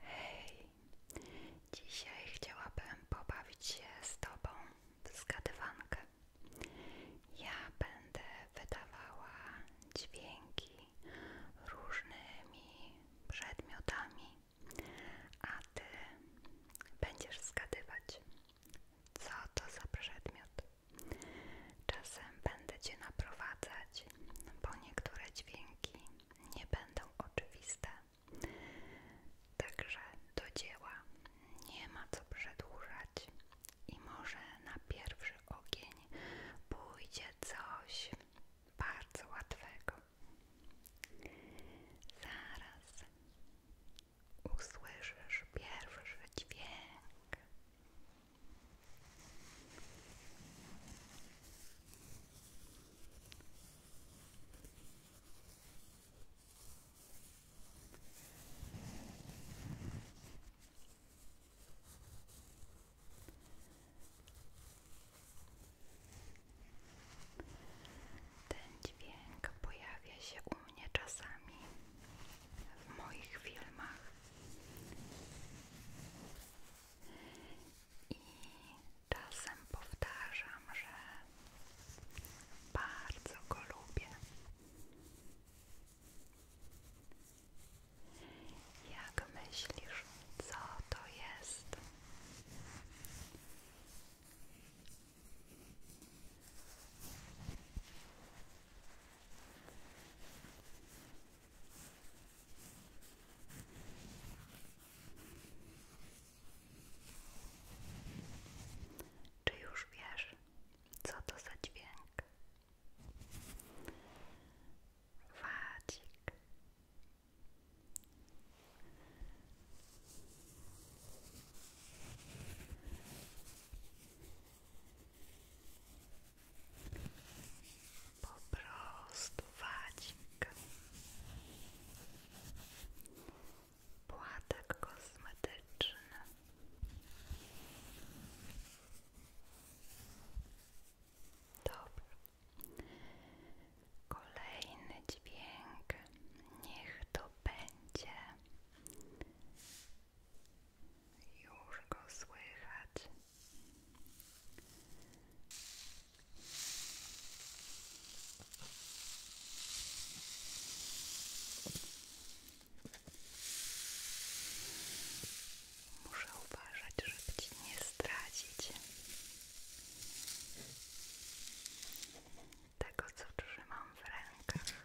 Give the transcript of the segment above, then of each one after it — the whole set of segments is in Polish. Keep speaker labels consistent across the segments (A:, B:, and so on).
A: Hej, dzisiaj chciałabym pobawić się z Tobą w zgadywankę. Ja będę wydawała dźwięki różnymi przedmiotami, a Ty będziesz zgadywać, co to za przedmiot. Czasem będę Cię naprowadzać bo niektóre dźwięki nie będą oczywiste. Także do dzieła nie ma co przedłużać i może na pierwszy ogień pójdzie coś bardzo łatwego. Zaraz usłyszysz pierwszy dźwięk. Ten dźwięk pojawia się u mnie czasami w moich filmach. I czasem powtarzam, że bardzo go lubię. Jak myślisz, co to jest? Czy już wiesz, co to za dźwięk? Wadzik. Po prostu wadzik. Płatek kosmetyczny. Dobra. Kolejny dźwięk. Niech to będzie. Już go słychać. Muszę uważać, żeby ci nie stracić tego, co trzymam w rękach.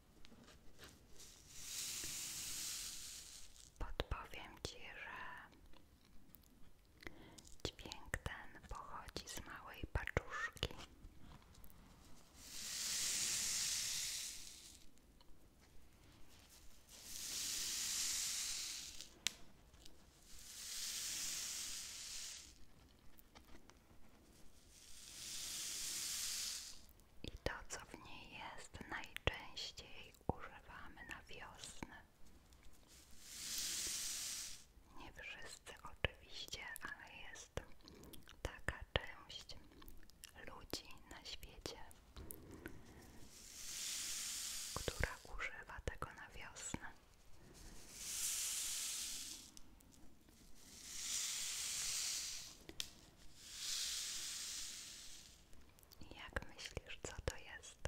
A: Podpowiem Ci, że dźwięk ten pochodzi z małej paczuszki i to, co w niej jest, najczęściej używamy na wiosnę. Nie wszyscy oczywiście, ale jest taka część ludzi na świecie, która używa tego na wiosnę. Jak myślisz, co to jest?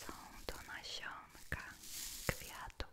A: Są to nasionka kwiatów.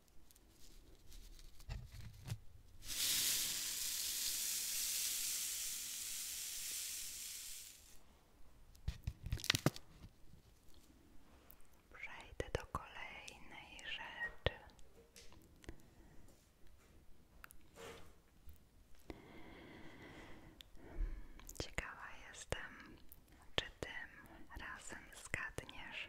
A: Przejdę do kolejnej rzeczy. Ciekawa jestem, czy tym razem zgadniesz.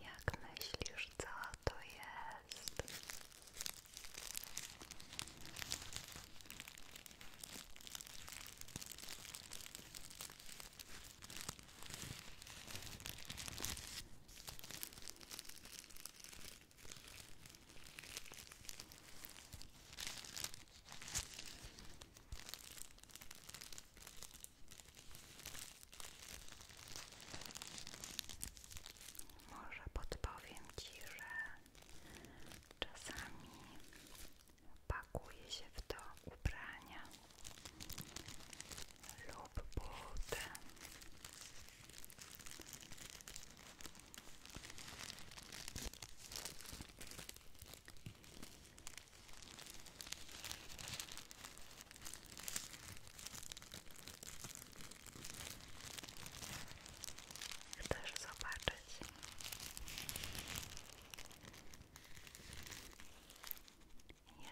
A: Jak myślisz, co to jest? Może podpowiem Ci, że czasami pakuje się w to ubrania lub buty. Chcesz zobaczyć?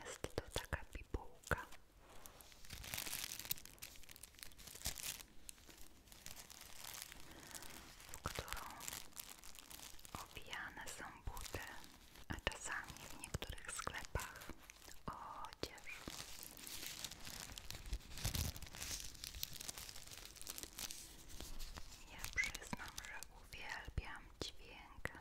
A: Jest to taka bibułka. W którą obijane są buty, a czasami w niektórych sklepach odzież. Ja przyznam, że uwielbiam dźwięk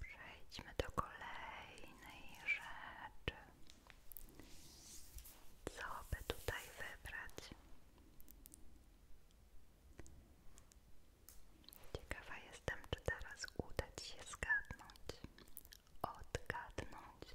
A: Przejdźmy do kolejnej rzeczy. Co by tutaj wybrać? Ciekawa jestem, czy teraz uda Ci się zgadnąć, odgadnąć.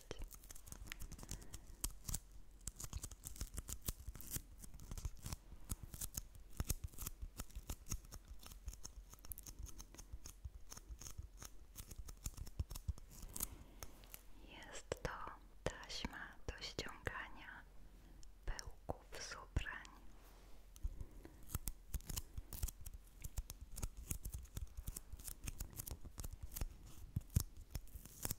A: Jest to taśma do ściągania pyłków z ubrań.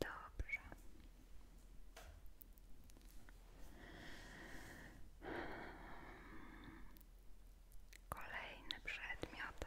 A: Dobrze. Kolejny przedmiot.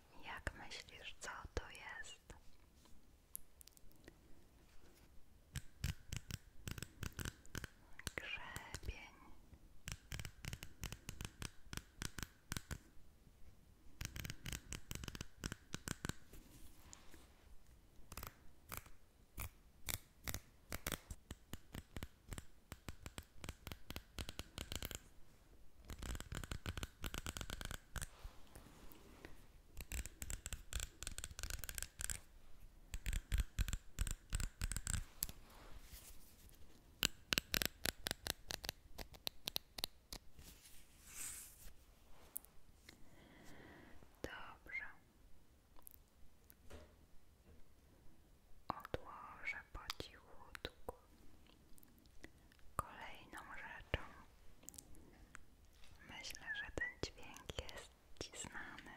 A: Jak myślisz, co to jest? Grzebień. Dobrze. Odłożę po Kolejną rzeczą, myślę, że ten dźwięk jest Ci znany.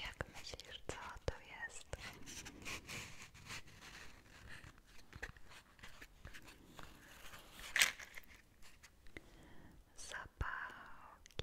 A: Jak myślisz, co to jest? Zapałki.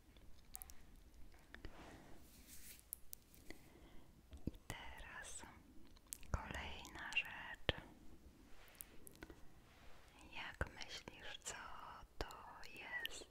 A: teraz kolejna rzecz. Jak myślisz, co to jest?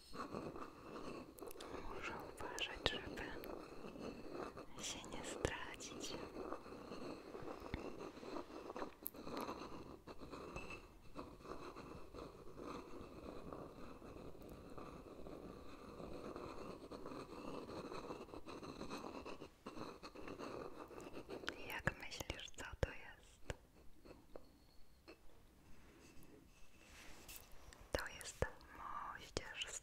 A: Muszę uważać, żeby się nie stracić. Jak myślisz, co to jest? To jest moździerz z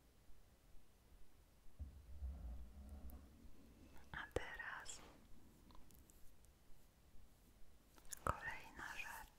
A: A teraz kolejna rzecz.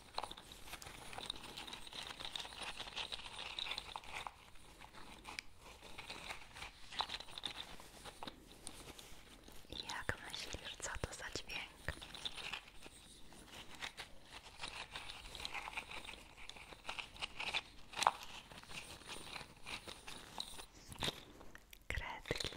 A: Jak myślisz, co to za dźwięk? Kredki.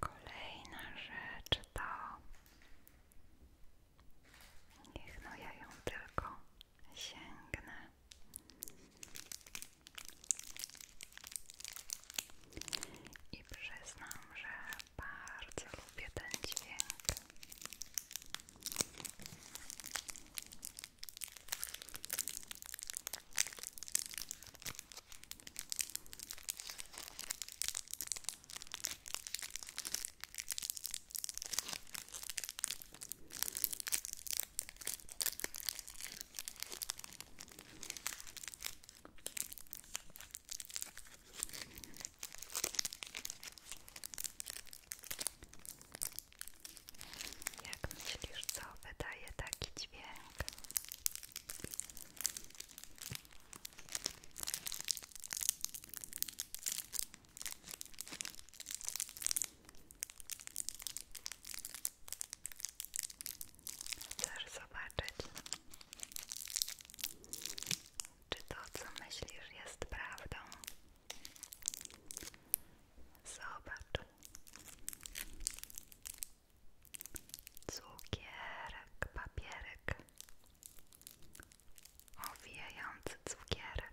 A: Kolejna rzecz to Niech no, ja ją tylko sięgnę. I przyznam, że bardzo lubię ten dźwięk. Jak myślisz, co wydaje taki dźwięk? Chcesz zobaczyć, czy to, co myślisz, jest prawdą? Zobacz. Cukierek, papierek, owijający cukierek.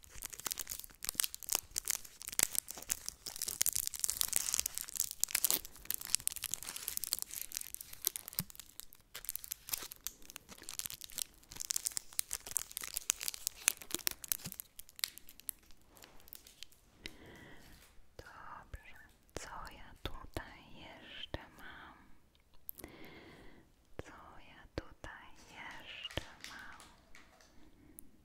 A: Dobrze, co ja tutaj jeszcze mam? Co ja tutaj jeszcze mam?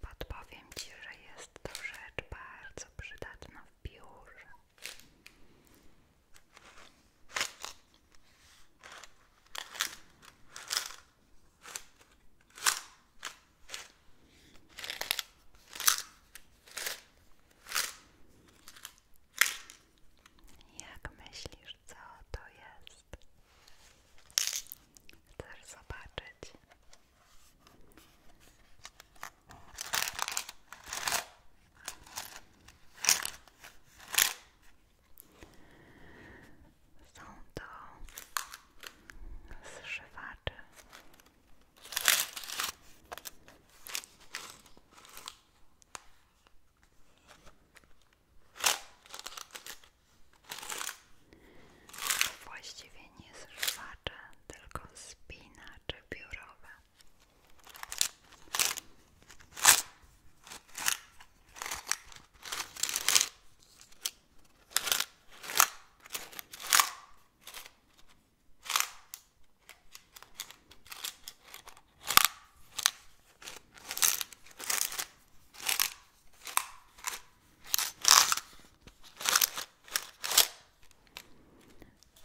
A: Podpowiem Ci, że jest to rzecz bardzo przydatna w biurze. Jak myślisz, co to jest? Chcę zobaczyć? Są to zszywacze właściwie nie zrwacze, tylko spina czy biurowe.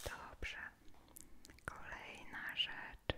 A: Dobrze. Kolejna rzecz.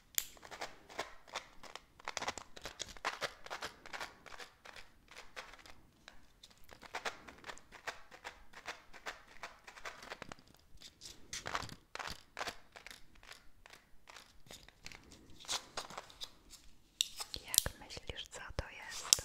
A: Jak myślisz, co to jest?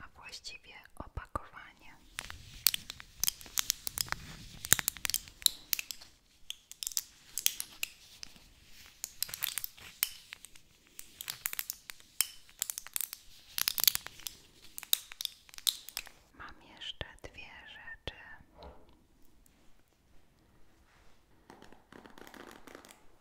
A: a właściwie opakowanie. Mam jeszcze dwie rzeczy.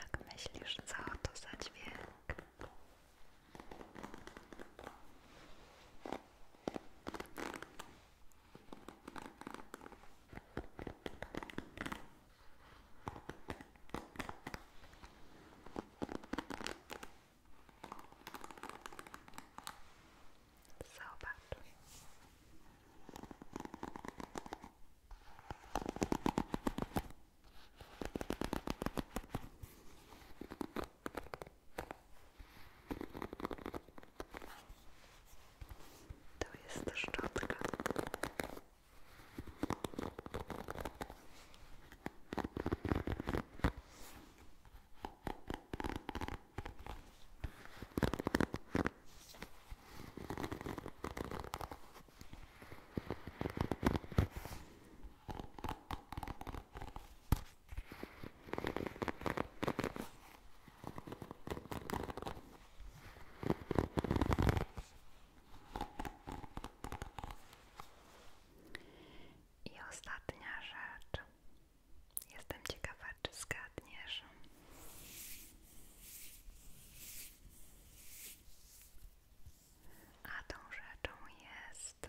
A: Jak myślisz, co to za dźwięk? To jest szczotka. I ostatnia rzecz. Jestem ciekaw, czy zgadniesz. A tą rzeczą jest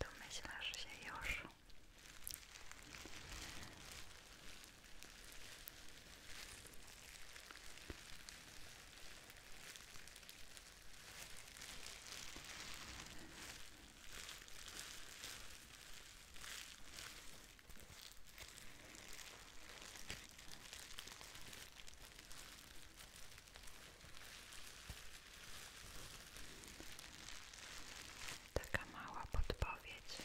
A: Domyślasz się już. Taka mała podpowiedź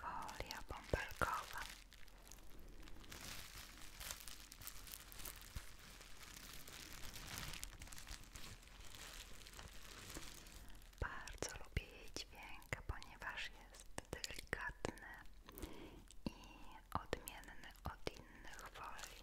A: folia bąbelkowa. Bardzo lubię jej dźwięk, ponieważ jest delikatny i odmienny od innych folii.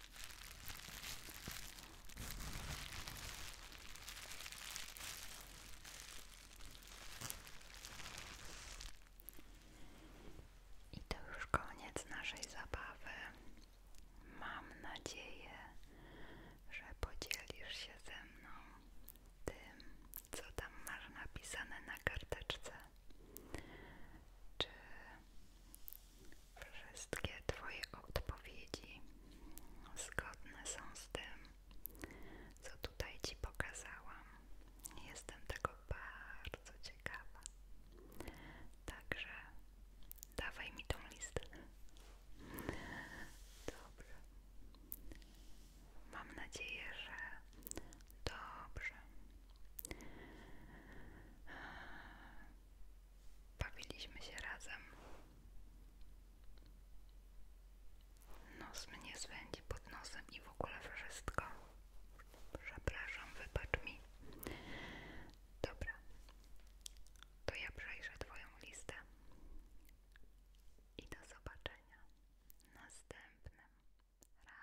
A: I to już koniec naszej zabawy. Mam nadzieję, że podzielisz się ze mną tym, co tam masz napisane na karteczce. Czy Wszystkie Twoje odpowiedzi zgodne są z tym, co tutaj Ci pokazałam. Jestem tego bardzo ciekawa. Także dawaj mi tą listę. Dobrze. Mam nadzieję, że dobrze. Bawiliśmy się razem. Nos mnie zwędzi pod nosem i w ogóle wszystko. Przepraszam, wybacz mi. Dobra, to ja przejrzę Twoją listę. I do zobaczenia następnym razem.